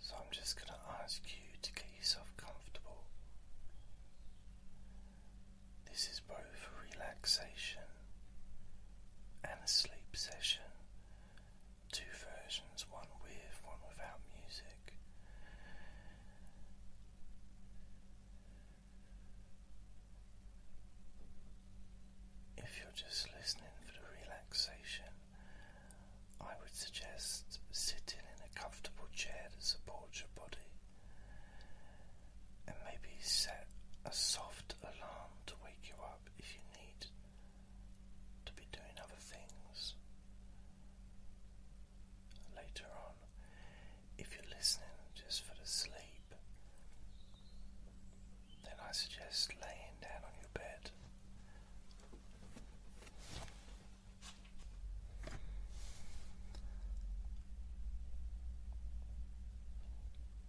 So I'm just going to ask you to get yourself comfortable. This is both a relaxation and a sleep session. Two versions, one with, one without music. If you're just listening for the relaxation, I would suggest sitting in a comfortable chair to support your body and maybe set a soft alarm to wake you up if you need to be doing other things. Later on, if you're listening just for the sleep, then I suggest laying down on your bed.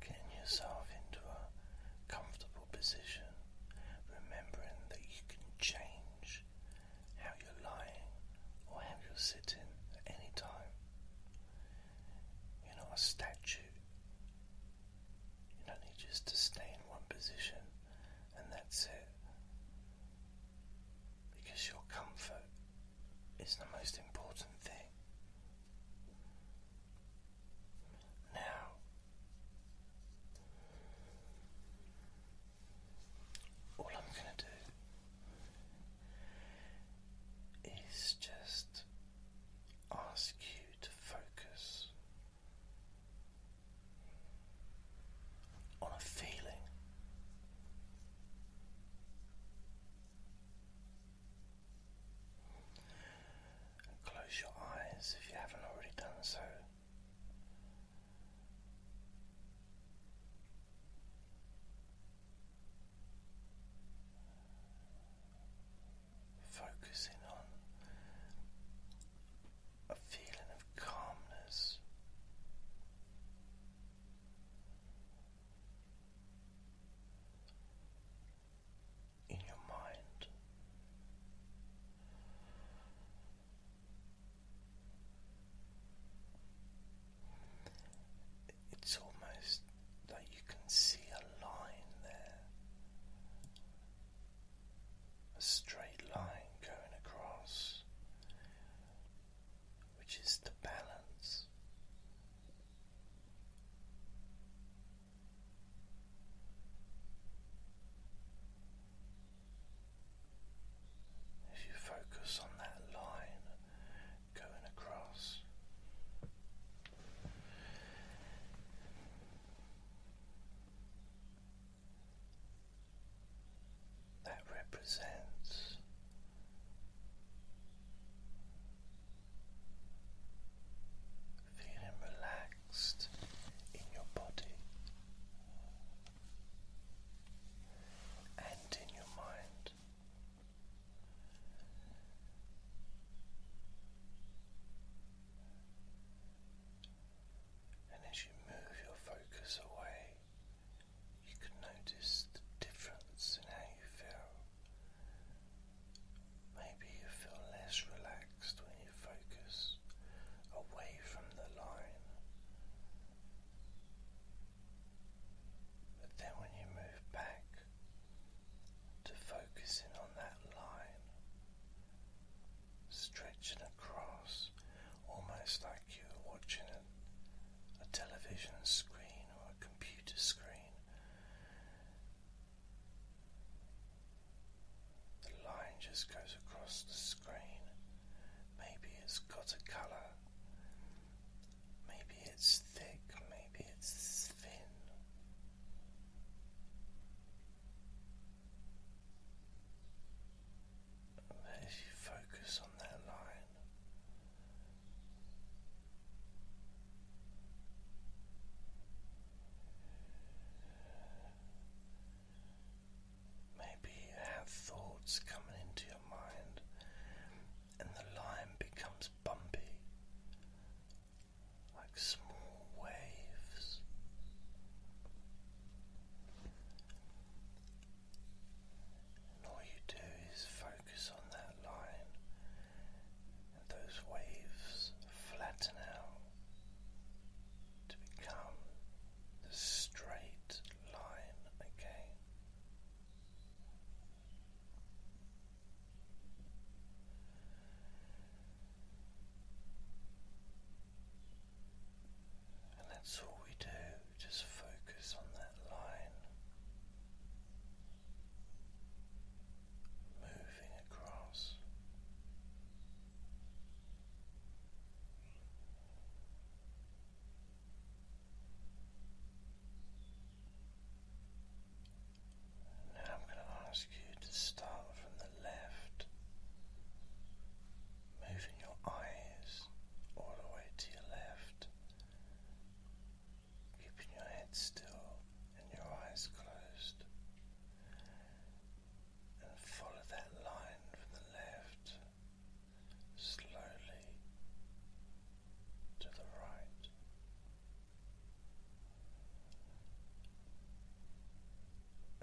Getting yourself into a comfortable position, remembering that you can change how you're lying or how you're sitting at any time. You're not a statue, you don't need just to stay in one position and that's it. Because your comfort is the most important thing. Now, all I'm going to do is just ask you to focus on a feeling. close your eyes if you haven't already done so focusing on a feeling of calmness. In your mind, it's almost like you can see a line there a straight line going across, which is the balance. If you focus on that line going across, that represents feeling relaxed in your body and in your mind. And as you move your focus away, you can notice the difference in how you feel. Maybe you feel less relaxed when you focus away from the line. But then when you move back to focus in on that line, stretching across almost like you are watching a television screen or a computer screen. The line just goes across the screen. Maybe it's got a colour, Maybe it's thick, maybe it's thin. But you focus on that line, maybe have thoughts coming into your mind and the line becomes bumpy like small waves. And all you do is focus on that line, and those waves flatten out to become the straight line again. And that's all we do, just focus on that line moving across. Now I'm going to ask you to start from the left, moving your eyes all the way to your left, keeping your head still and your eyes closed. And follow that line from the left slowly to the right.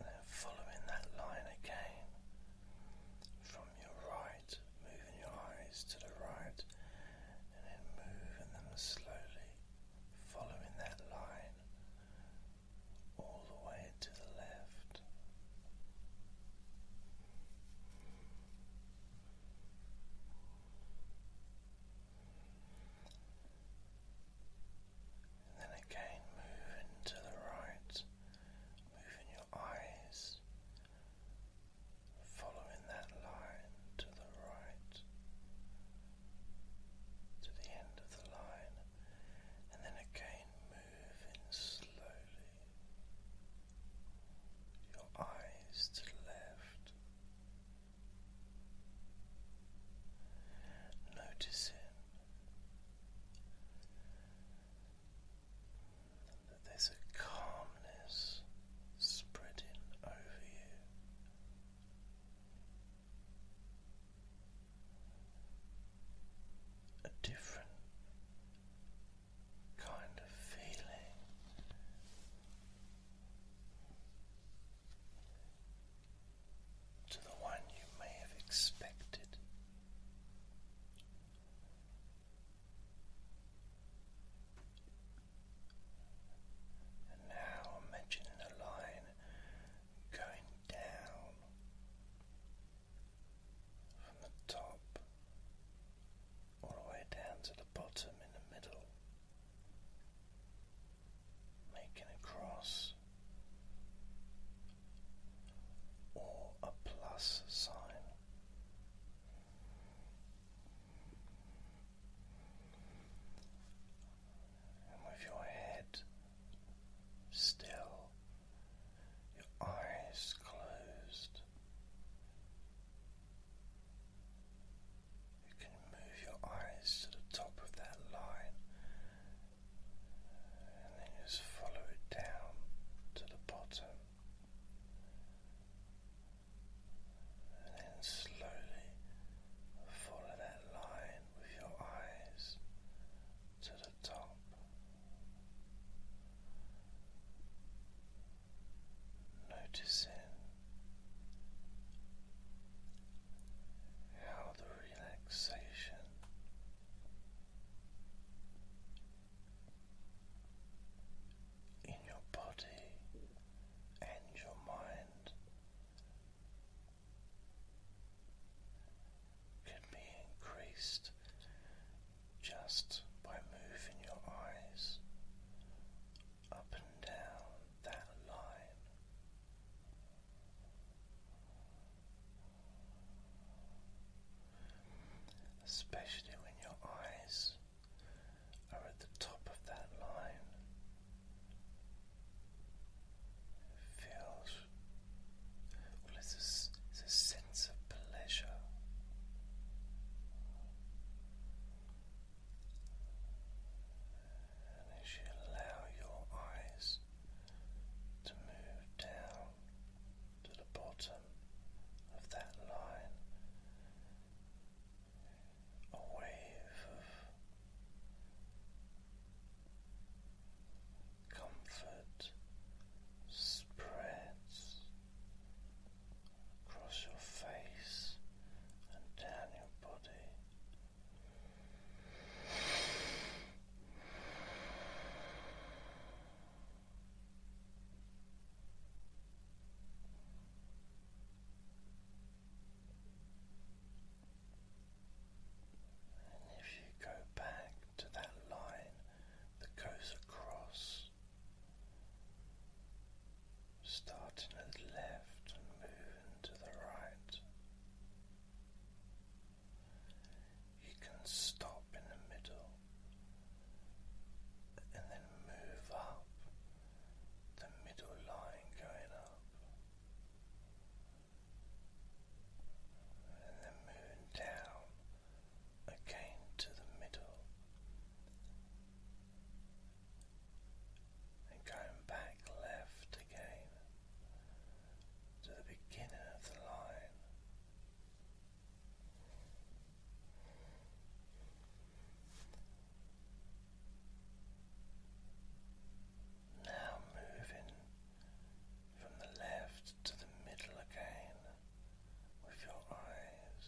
And then following that line again from your right, moving your eyes to the right, and then moving them slowly, following that line all the way to the left. And then again, moving to the right, moving your eyes, following that line to the right, to the end of the line, and then again, moving slowly your eyes to the left. Notice him that there's a calmness spreading over you. A different kind of feeling. To the one you may have expected, and now imagine the line going down from the top all the way down to the bottom in the middle, making a cross or a plus sign. And with your head still your eyes closed. You can move your eyes to the top of that line and then just follow it down to the bottom. And then slowly follow that line with your eyes to the top. Noticing how the relaxation in your body and your mind can be increased just by moving your eyes up and down that line. Especially when your eyes are at the top of that line, it feels well, it's a sense of pleasure. And as you allow your eyes to move down to the bottom of that line, a wave of comfort spreads across your face and down your body. And if you go back to that line that goes across, starting at the left and moving to the right. You can stop in the middle and then move up the middle line going up. And then moving down again to the middle, and going back left again to the beginning of the line. Now moving from the left to the middle again with your eyes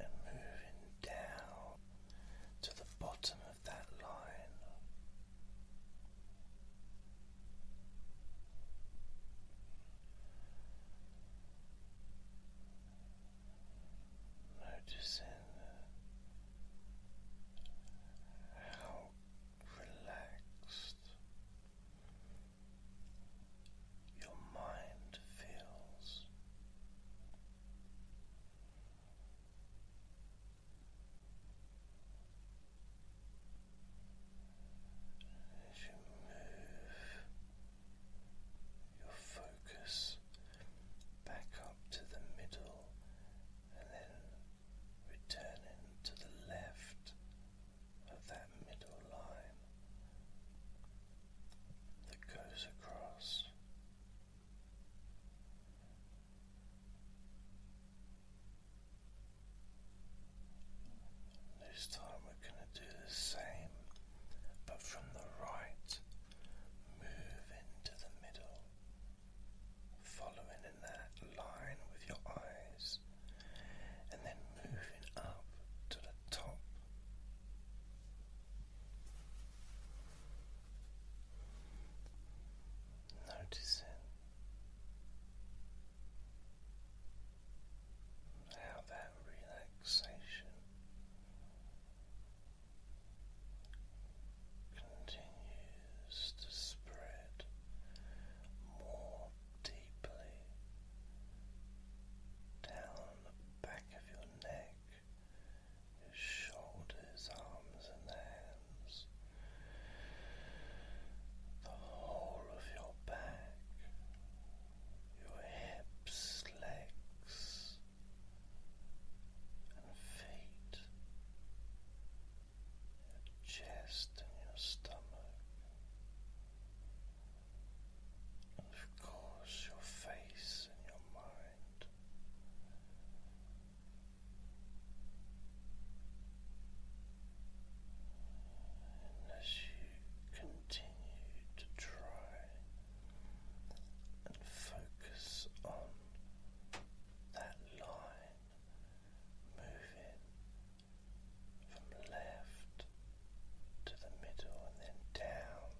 and moving down to the bottom of that line. Noticing how relaxed. Your mind feels as you move your focus back up to the middle and then returning to the left of that middle line that goes across. This time we're going to do the same, but from the right, move into the middle following in that line with your eyes, and then moving up to the top. Noticing how that relaxation continues to spread more deeply down the back of your neck, your shoulders, arms, and hands, the whole of your back, your hips, legs and feet, your chest and your stomach, and of course your face and your mind. And you continue to try and focus on that line moving from left to the middle and then down.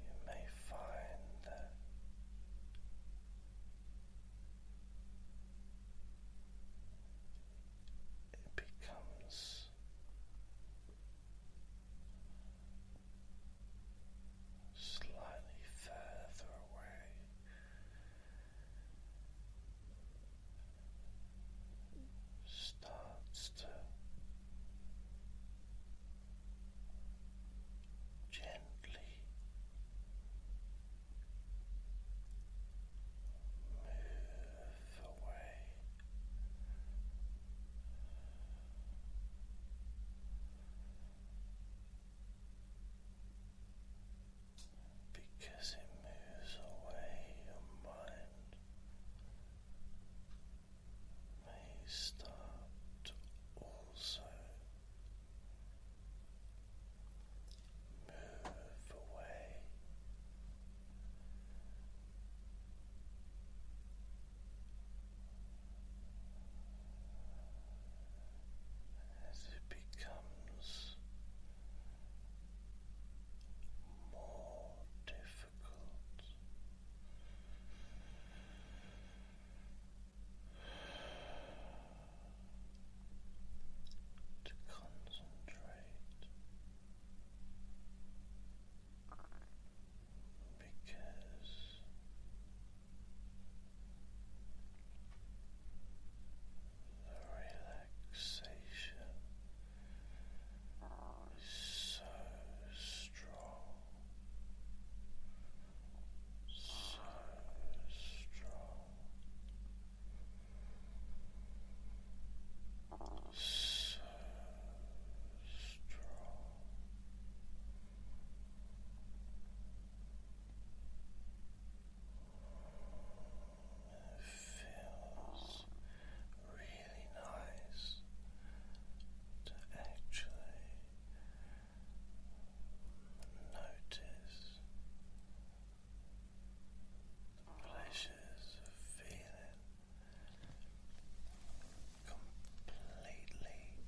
You may find that it becomes slightly further away. Starts to gently move away. Because it moves away your mind, may start also move away as it becomes more difficult. To concentrate because the relaxation is so strong, so strong. So strong. It feels really nice to actually notice the pleasures of feeling completely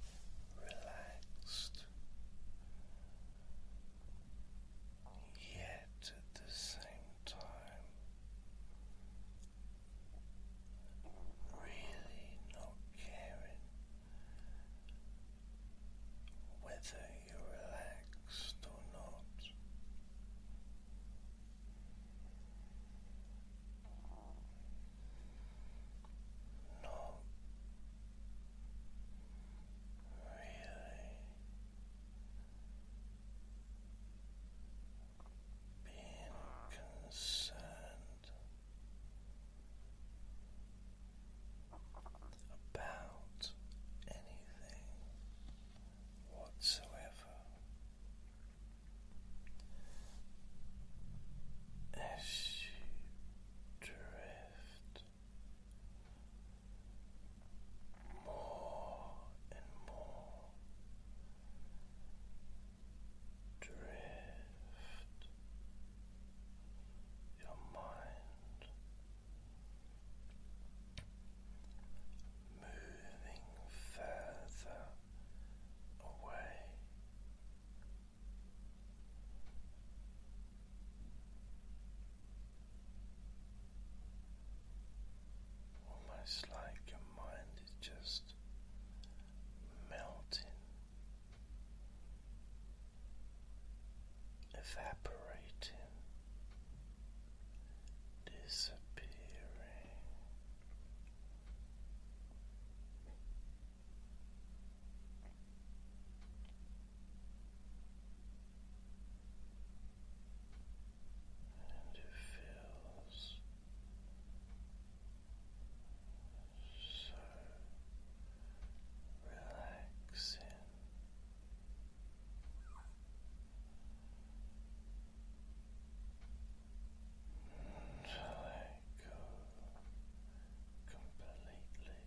relaxed, yet at the same time really not caring whether you're relaxed or not. Not really being concerned about anything whatsoever as drift more and more drift your mind moving further away. Almost like your mind is just melting evaporating, disappearing. And it feels so relaxing until I go completely. Let go completely.